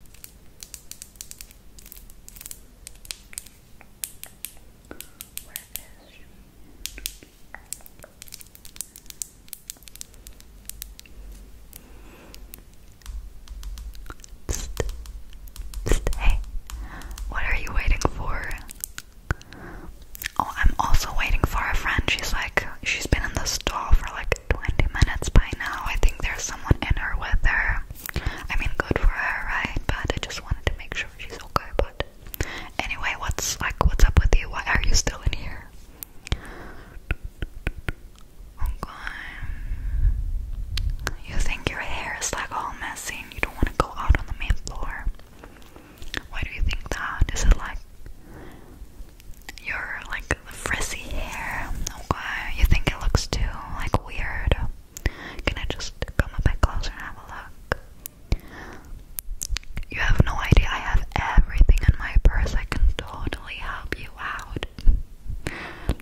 Hey, what are you waiting for? Oh, I'm also waiting for a friend. She's like, she's been in the store for like 20 minutes by now. I think there's someone in her with her. I mean, good for her, right? But I just wanted to make sure she's okay. But anyway, what's like, what's up with you? Why are you still in here? Oh, you think your hair is like all messy you don't want to go out on the main floor? Why do you think that? Is it like your like the frizzy hair. Okay, you think it looks too like weird? Can I just come a bit closer and have a look? You have no idea. I have everything in my purse. I can totally help you out.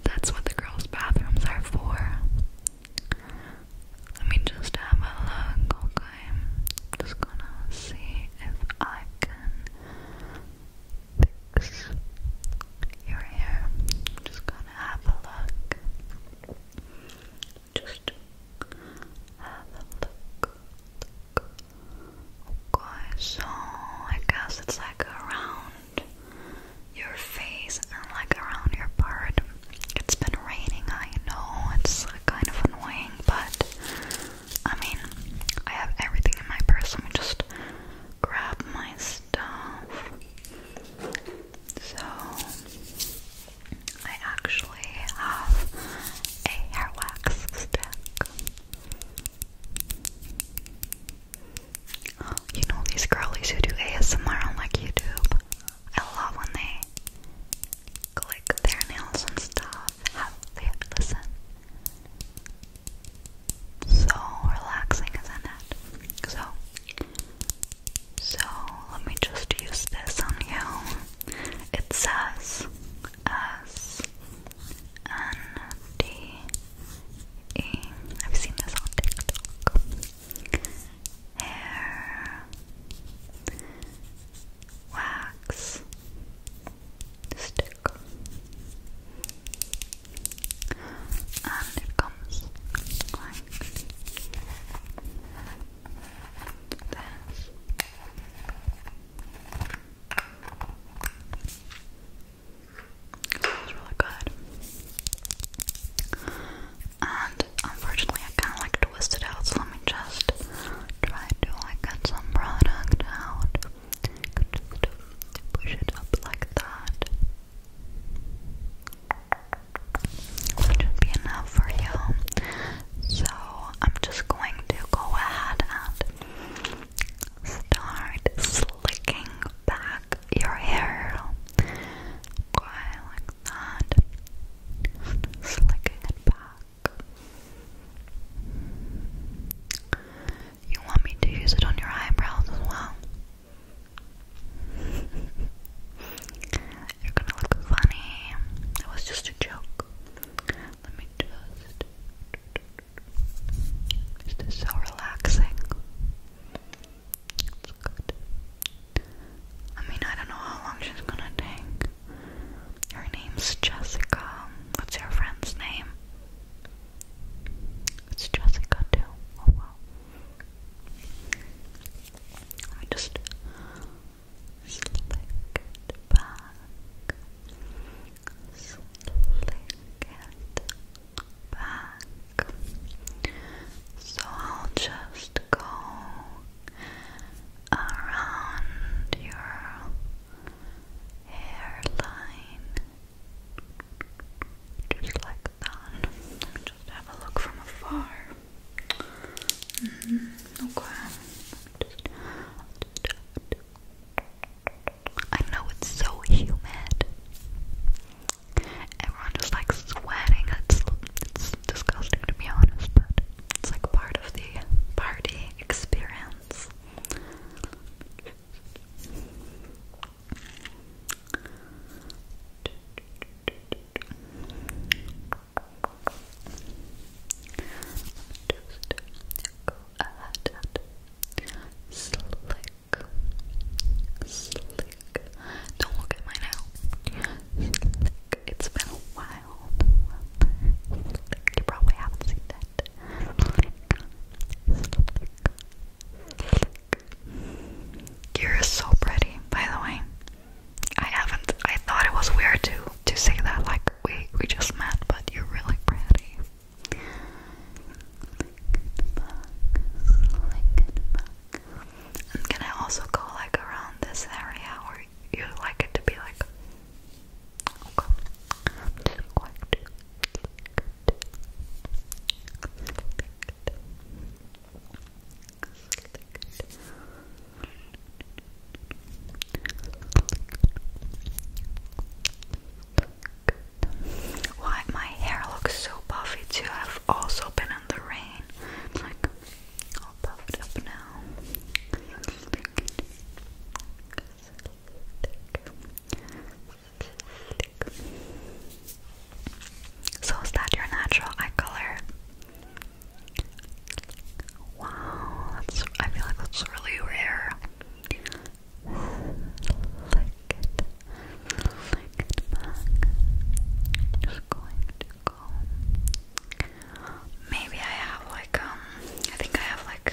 That's what the girls' bathrooms are for. Let me just have a look, okay? just gonna see if I can fix your hair. just gonna have a look. Just have a look. look. so I guess it's like around your face and like around your part. It's been raining, I know, it's kind of annoying, but I mean, I have everything in my purse. Let me just grab my stuff. So, I actually have a hair wax stick. You know these girlies who do ASMR on like YouTube? I love when they click their nails and stuff. Have they listen? So relaxing, isn't it? So, so let me just use this on you. It says S N D E. Have you seen this on TikTok? Hair wax stick and it comes like this it's really good and unfortunately I kinda like twisted out so let me just try to like get some product out just push it up like that. should be enough for you. So I'm just going to go ahead and start slicking back your hair. like that. slicking it back. You want me to use it on your eyebrows as well? You're gonna look funny. It was just a joke. Let me just. Is so relaxing? It's good. I mean, I don't know how long she's gonna take. Her name's Jessica. What's your friend's name? It's Jessica too. Oh wow. I just slick it back. Slick it back. So I'll just go around your hairline. Just like that. Just have a look from afar. Mm-hmm. Okay. I know it's so humid. Everyone just like sweating. It's it's disgusting to be honest, but it's like part of the party experience go ahead and slick, slick. Don't look at my nail. Slick. It's been a while. You probably haven't seen that. You're so pretty, by the way. I haven't. I thought it was weird to to say that. Like we we just met, but you're really pretty. I'm gonna also go like around this area where you like it to be like Okay. Why my hair looks so puffy too? I've also been in the rain. like all puffed up now. So that your natural eye color? Wow, that's I feel like that's really rare. Maybe I have like um I think I have like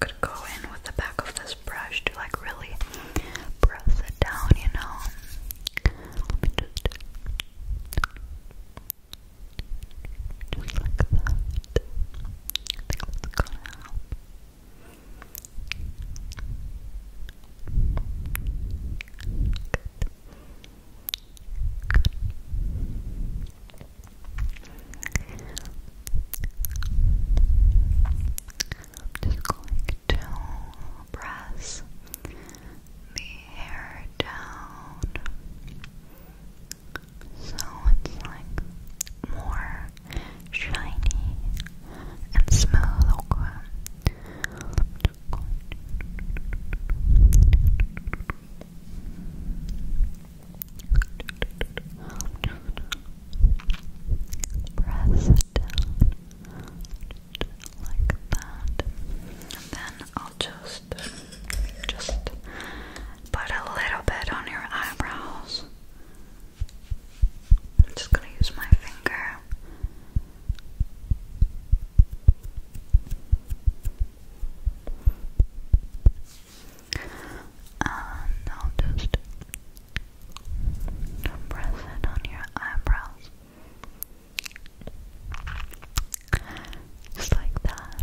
could go in with the back of this brush to like really press it down, you know. Let me just just like that. I think that's gonna help. I'm just going to press the hair down so it's like more shiny and smooth. Press it down like that. And then I'll just just put a little bit on your eyebrows. I'm just gonna use my finger and i just press it on your eyebrows. Just like that.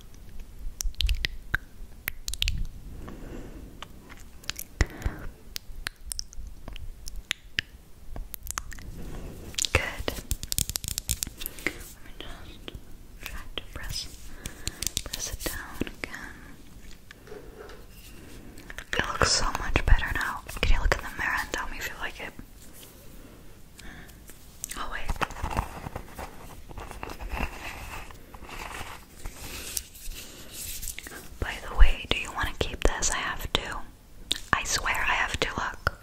Good. Let me just try to press press it down again. It looks so much better now. Can you look in the mirror and tell me if you like it? Oh by the way, do you want to keep this? I have to. I swear I have to look.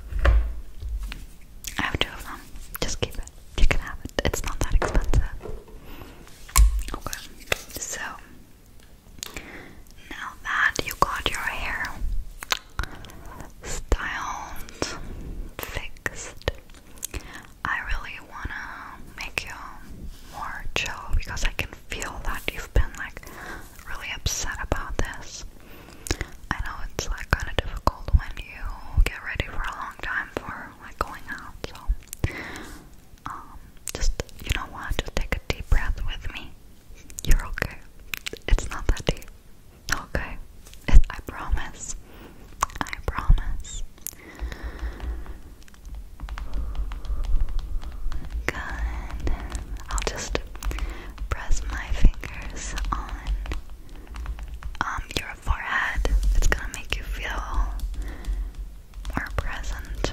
I have two of them. Just keep it. You can have it. It's not that expensive. Okay. So now that you got your hair styled, fixed, I really wanna make you more chill because I can feel that you've been like really upset about this. I know it's like kind of difficult when you get ready for a long time for like going out, so um, just you know what, just take a deep breath with me. You're okay. It's not that deep. Okay. It, I promise. I promise. Good. I'll just press my fingers on um, your forehead. It's gonna make you feel more present.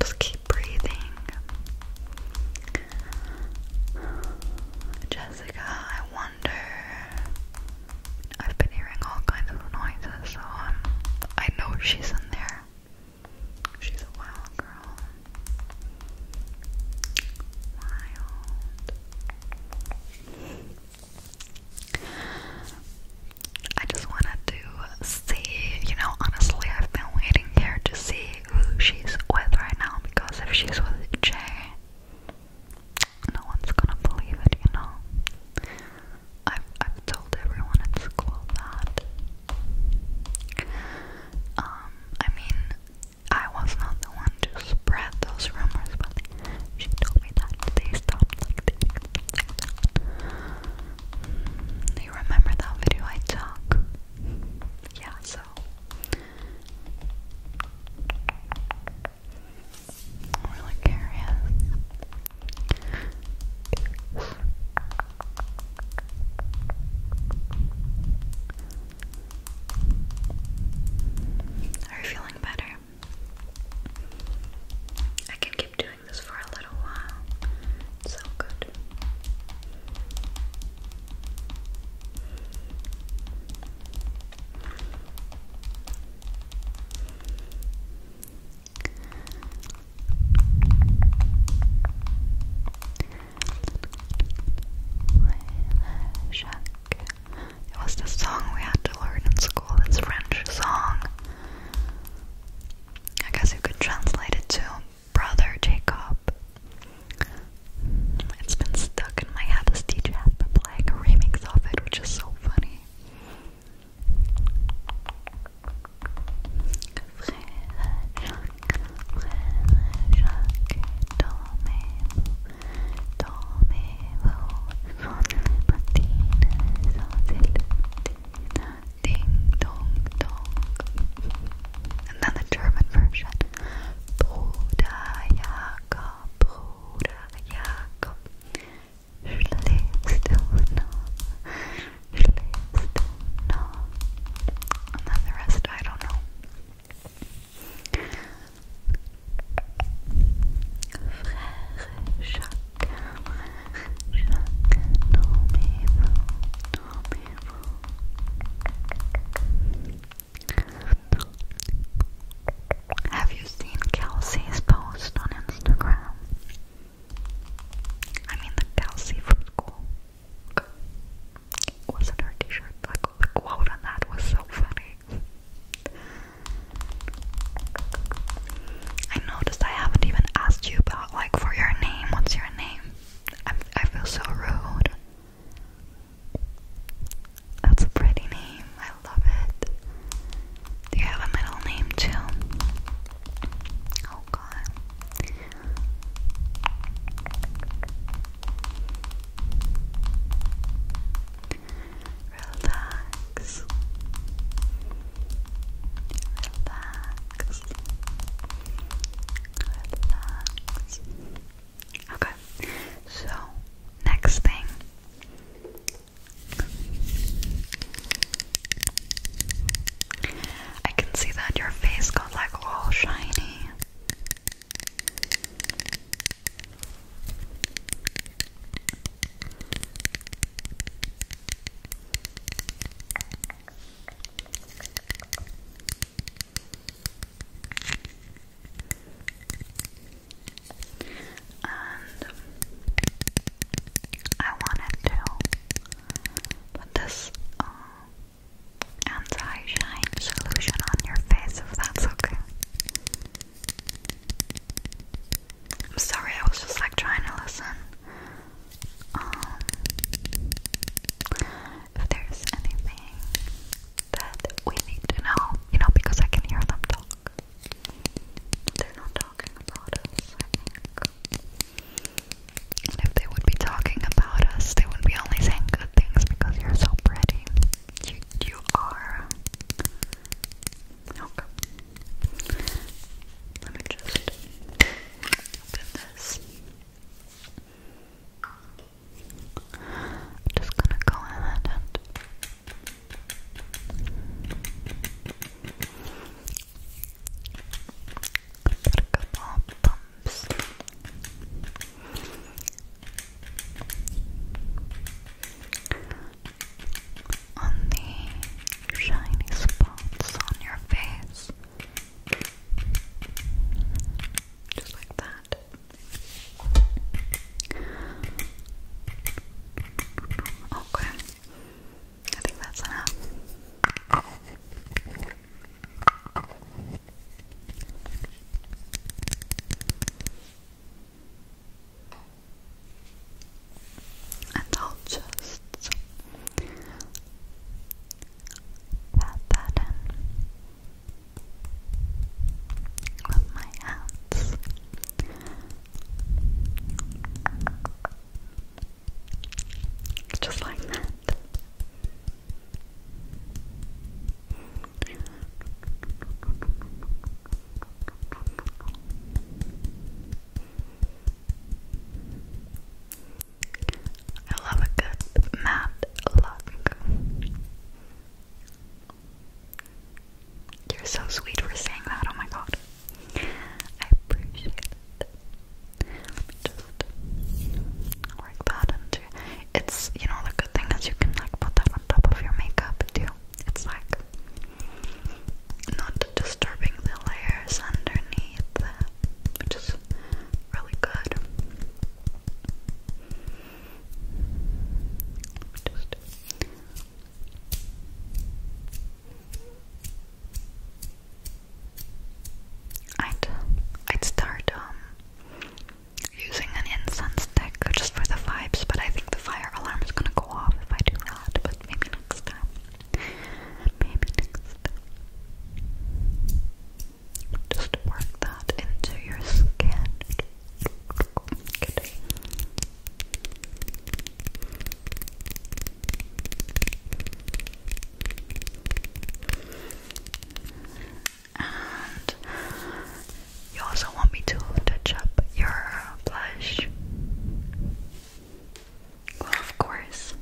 Just keep breathing. Jessica, I want I've been hearing all kinds of noises, so um, I know she's in there. She's a wild girl. Wild. I just wanted to see, you know, honestly, I've been waiting here to see who she's with right now because if she's with Jay, no one's gonna believe it, you know. I've I've told everyone at school that. Um, I mean, I was not the one to spread those rumors, but she told me that they stopped like that. you remember that video I took? Yeah, so I'm really curious. Are you feeling better? I can keep doing this for a little while. so good. It was the song we had to learn in school. It's a French song. I guess you could translate it to Brother Jacob, it's been stuck in my head. as DJ has playing a remix of it, which is so funny. And then the German version. Buddha, ja, Jakob, Bruder Jakob, schläfst du noch? Schläfst du And then the rest, I don't know. Frère Jacques, Jacques, nommez-vous, nommez-vous. Have you seen Kelsey's post on Instagram? I mean, the Kelsey from school. Wasn't her t-shirt the quote on that was so funny. I noticed I haven't even asked you about like for your name. What's your name? I feel so rude. That's a pretty name. I love it. Do you have a middle name too? Oh god. Relax. Relax. Relax. Okay, so next thing. I can see that your face got like all shiny. I wanted to put this uh, anti shine solution on your face if that's okay. I'm sorry, I was just like trying to listen. Um, if there's anything that we need to know, you know, because I can hear them talk. They're not talking about us, if they would be talking about us, they would be only saying good things because you're so pretty. You, you are. Okay. Let me just open this. I'm just gonna go ahead and put a couple of On the shiny spots on your face, just like that. Okay. I think that's enough. And I'll just pat that in with my hands. Just like that. I love a good matte look. You're so sweet for saying that, oh my god. I appreciate it. Just that into it's you know the good thing is you can like put that on top of your makeup too. It's like not disturbing the layers underneath, which really good. Just I'd I'd start um using an incense stick just for the vibes, but I think the fire alarm is gonna go off if I do that, but maybe next time. Maybe next just work that into your skin. And you also want me to touch up your blush. of course.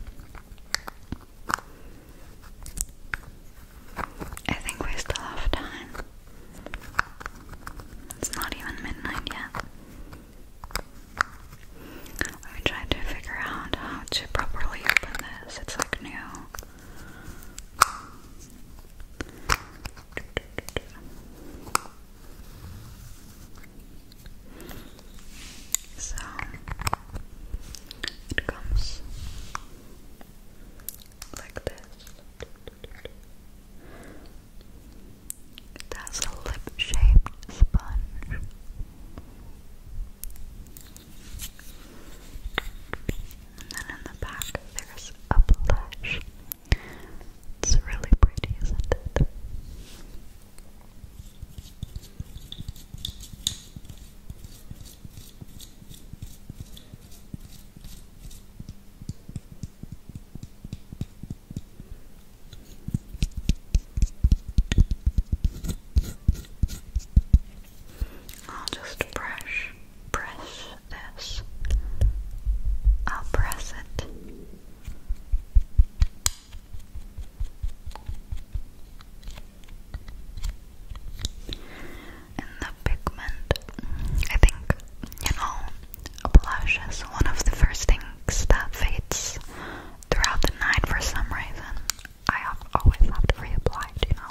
I think we still have time. It's not even midnight yet. I tried to figure out how to properly open this. It's like new. So it comes like this. It has a lip shaped sponge. And then in the back, there's a blush. It's really pretty, isn't it? I'll just brush, press this. I'll press it in the pigment. I think, you know, a blush is one of the first things that fades throughout the night for some reason. I always have to reapply you know.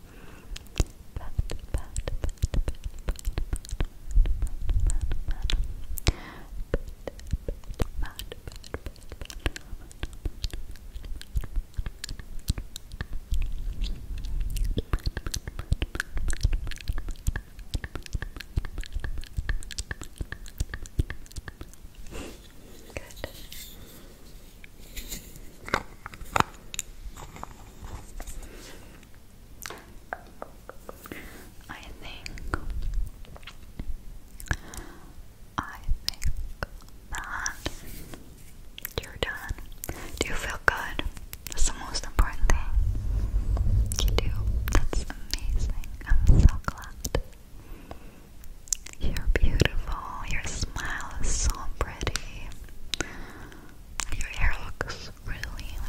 pat, pat, pat, pat, pat, pat, Good. I think I think that you're done. Do you feel good? That's the most important thing. You do. That's amazing. I'm so glad. You're beautiful. Your smile is so pretty. Your hair looks really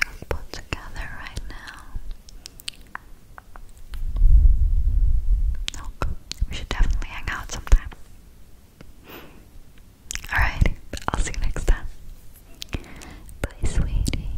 like put together right now. Look, we should definitely hang out sometime. Alright, I'll see you next time. Bye, sweetie.